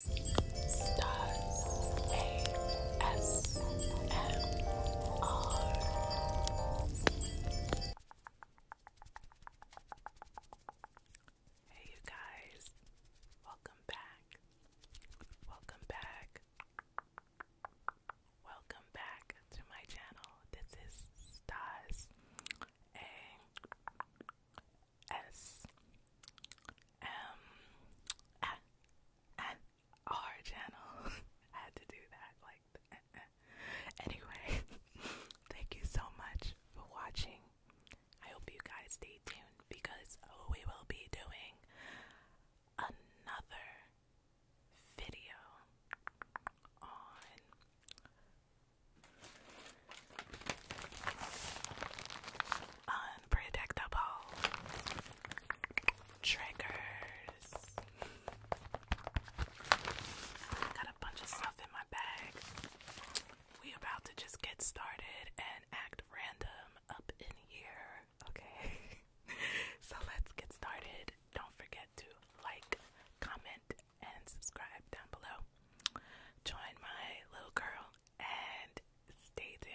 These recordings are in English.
Hey, you guys, welcome back. Welcome back. Welcome back to my channel. This is Stars A S M A N R channel. had to do that like eh, eh. anyway. thank you so much for watching. I hope you guys stay tuned because we will be doing another video on Unpredictable triggers. got a bunch of stuff in my bag. We about to just get started and act random up in here. Okay. so let's get started. Don't forget to like, comment, and subscribe down below. Join my little girl and stay tuned.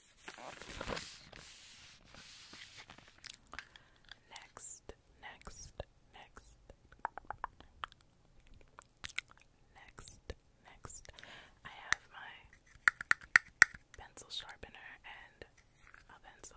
Next, next, next. Next, next. I have my pencil sharpener and a pencil.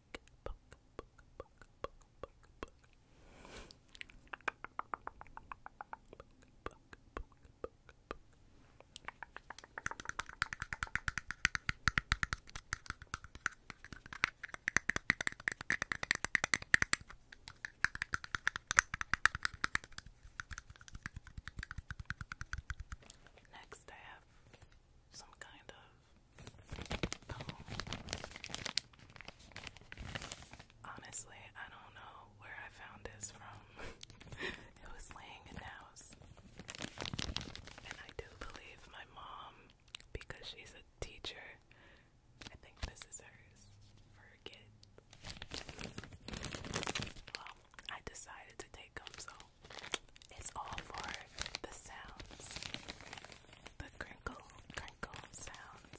book, book, Next, I have some kind of Oh. Honestly, I don't know where I found this from. it was laying in the house. And I do believe my mom, because she's a teacher, I think this is hers for Well, I decided to take them, so it's all for the sounds, the crinkle, crinkle sounds.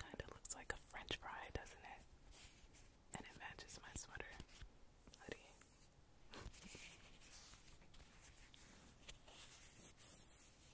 Kind of looks like a french fry, doesn't it? And it matches my sweater hoodie.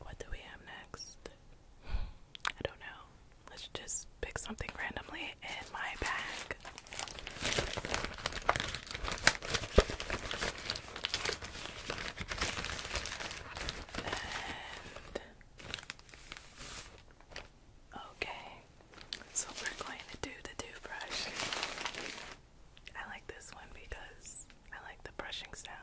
What do we have next? I don't know. Let's just pick something randomly in my bag. Okay, so we're going to do the toothbrush. I like this one because I like the brushing sound.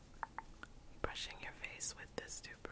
brushing your face with this toothbrush.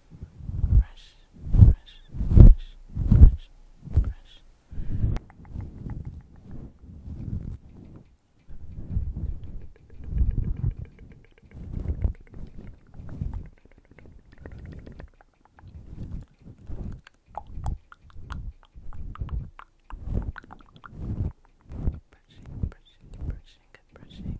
brush, brush, brush, brush, brush. Brushing, brushing, brushing, brushing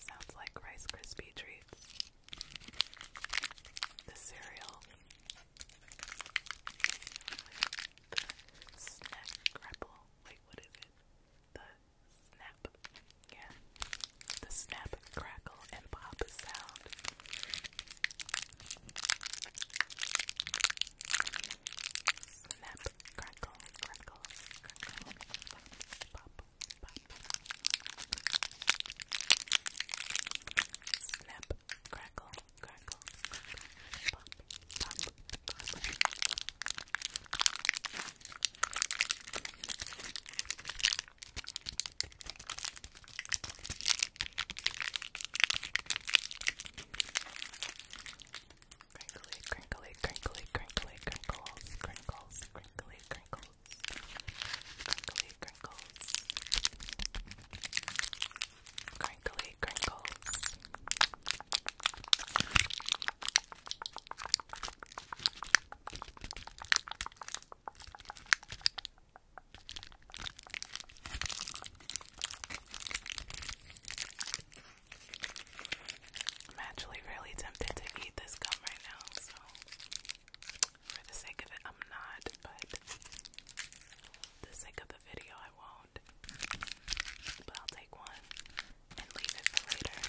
Sounds like Rice Krispie treats. The cereal. The snap yeah. The snap, crackle, and pop sound. Snap, crackle, crackle, crackle, pop, pop. Snap, crackle, crackle, crackle, pop, pop, pop. Snap, Crinkly, crinkly, crinkly, crinkly, crinkles, crinkles, crinkly, crinkles, crinkly, crinkles, crinkly, crinkles. Crinkly, crinkles. I'm actually really tempted to eat this gum right now, so for the sake of it, I'm not, but for the sake of the video, I won't. But I'll take one and leave it for later.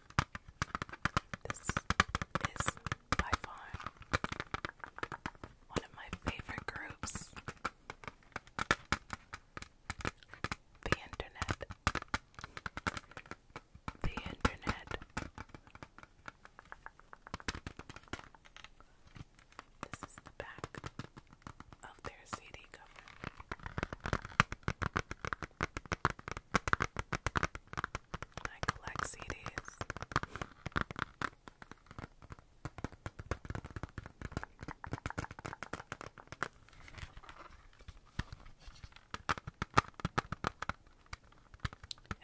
This is by far one of my favorite groups. The internet. The internet. This is the back of their CD cover. I collect CDs.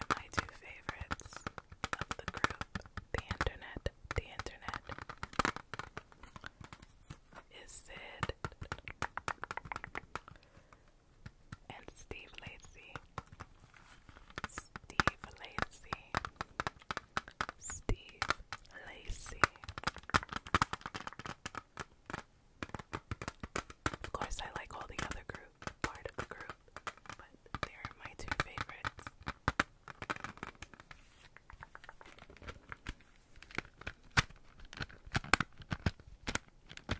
my two favorites of the group, the internet, the internet, is Sid and Steve Lacy, Steve Lacy, Steve Lacy. Of course, I like all the other group, part of the group, but they are my two favorites.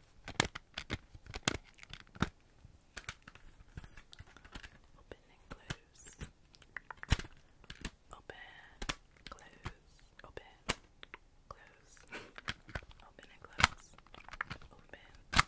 Open and close. Open, close, open, close. Open and close. Open, close.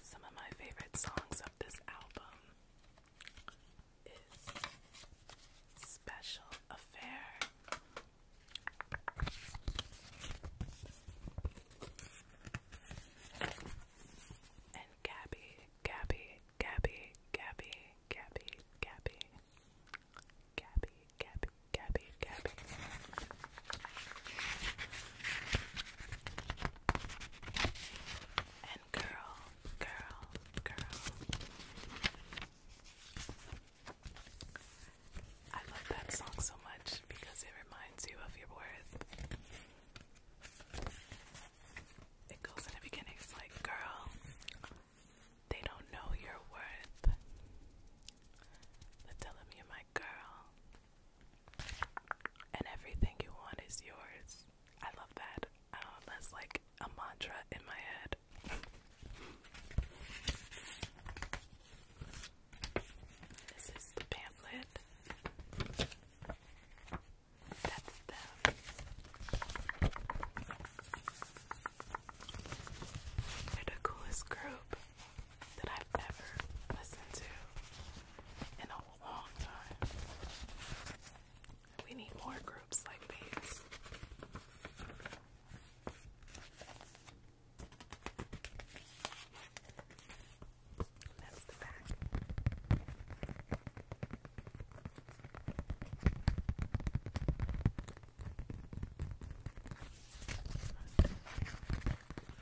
Some of my favorite songs of this album is Special Affair. And Gabby, Gabby, Gabby, Gabby, Gabby, Gabby, Gabby, Gabby, Gabby, Gabby. And girl, girl, girl. I love that song so much because it reminds you of your worth. It goes in the beginning, it's like, girl, they don't know your worth. But tell them you my girl. And everything you want is yours. I love that. Uh, that's like a mantra in my head. This is the pamphlet. That's the They're the coolest group that I've ever listened to in a long time. We need more groups like these. That's the back.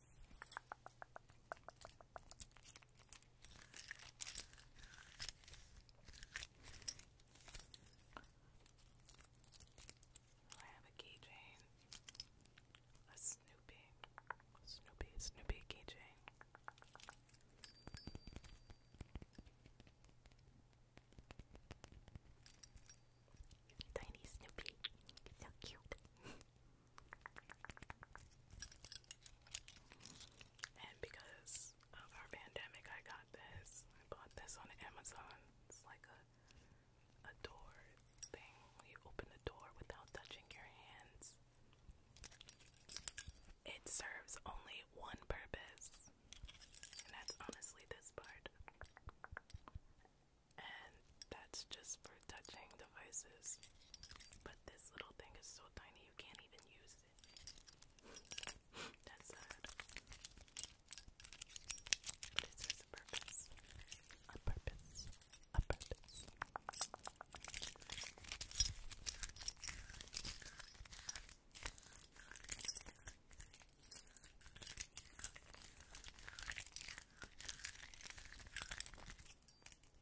I have a keychain. A Snoopy. Snoopy, Snoopy keychain. Tiny Snoopy. So cute. And because of our pandemic, I got this. I bought this on Amazon. It's like a a door thing. You open the door without touching your hands. It serves only one purpose, and that's honestly this part. And that's just for touching devices. But this little thing is so tiny you can't even use it. That's sad. But it a purpose. A purpose. A purpose.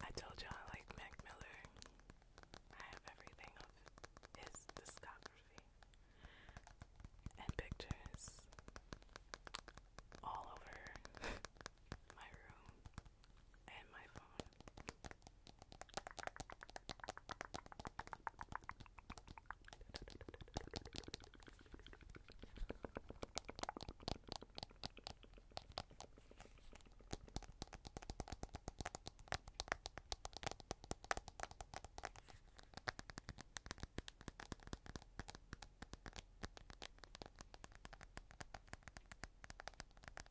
I told you I like Mac Miller. I have everything of his discography and pictures all over my room and my phone.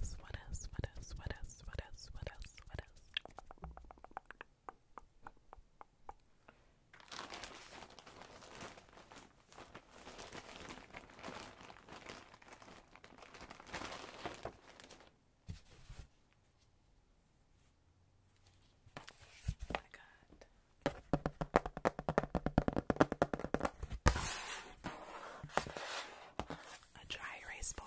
else? What else? What else? What else? What else? What else? What else? I got a dry erase board.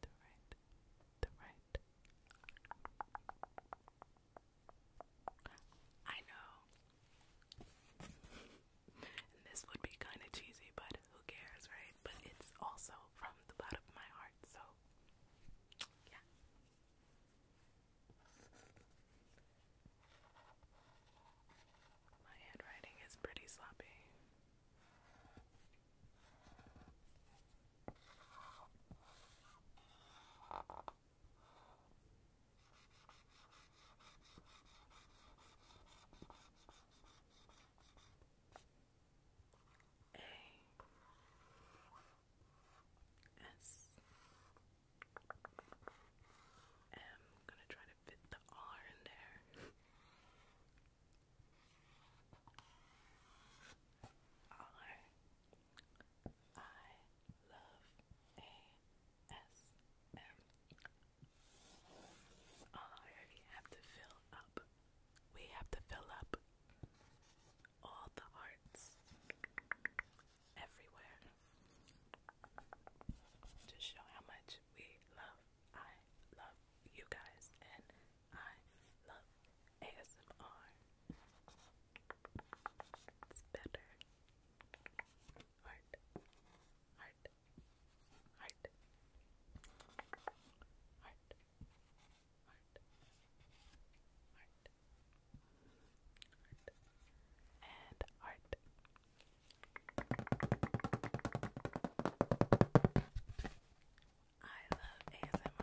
the right, the right. I know. this would be kind of cheesy, but who cares, right? But it's also from the bottom of my heart, so yeah. My handwriting is pretty sloppy. S. I'm gonna try to fit the R in there. R I love ASM. have to fill up. We have to fill up all the hearts everywhere to show how much we love I love you guys and I love ASMR. It's better. Heart, heart, heart, heart, heart, heart, heart, and heart. I love ASMR.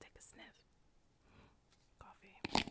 Take a sniff. Coffee.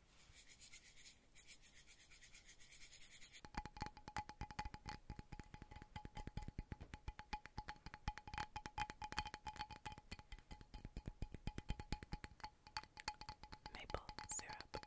Maple syrup.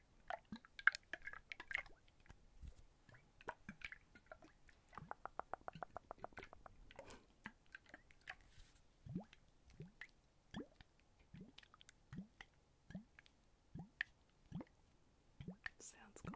Sounds cool.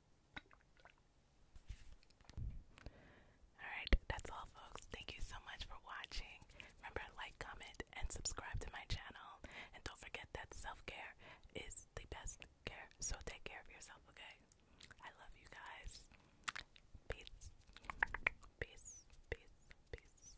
Alright, that's all folks. Thank you so much for watching. Remember, like, comment, and subscribe to my channel. And don't forget that self-care is the best care. So take care of yourself, okay? I love you guys. Peace. Peace. Peace. Peace.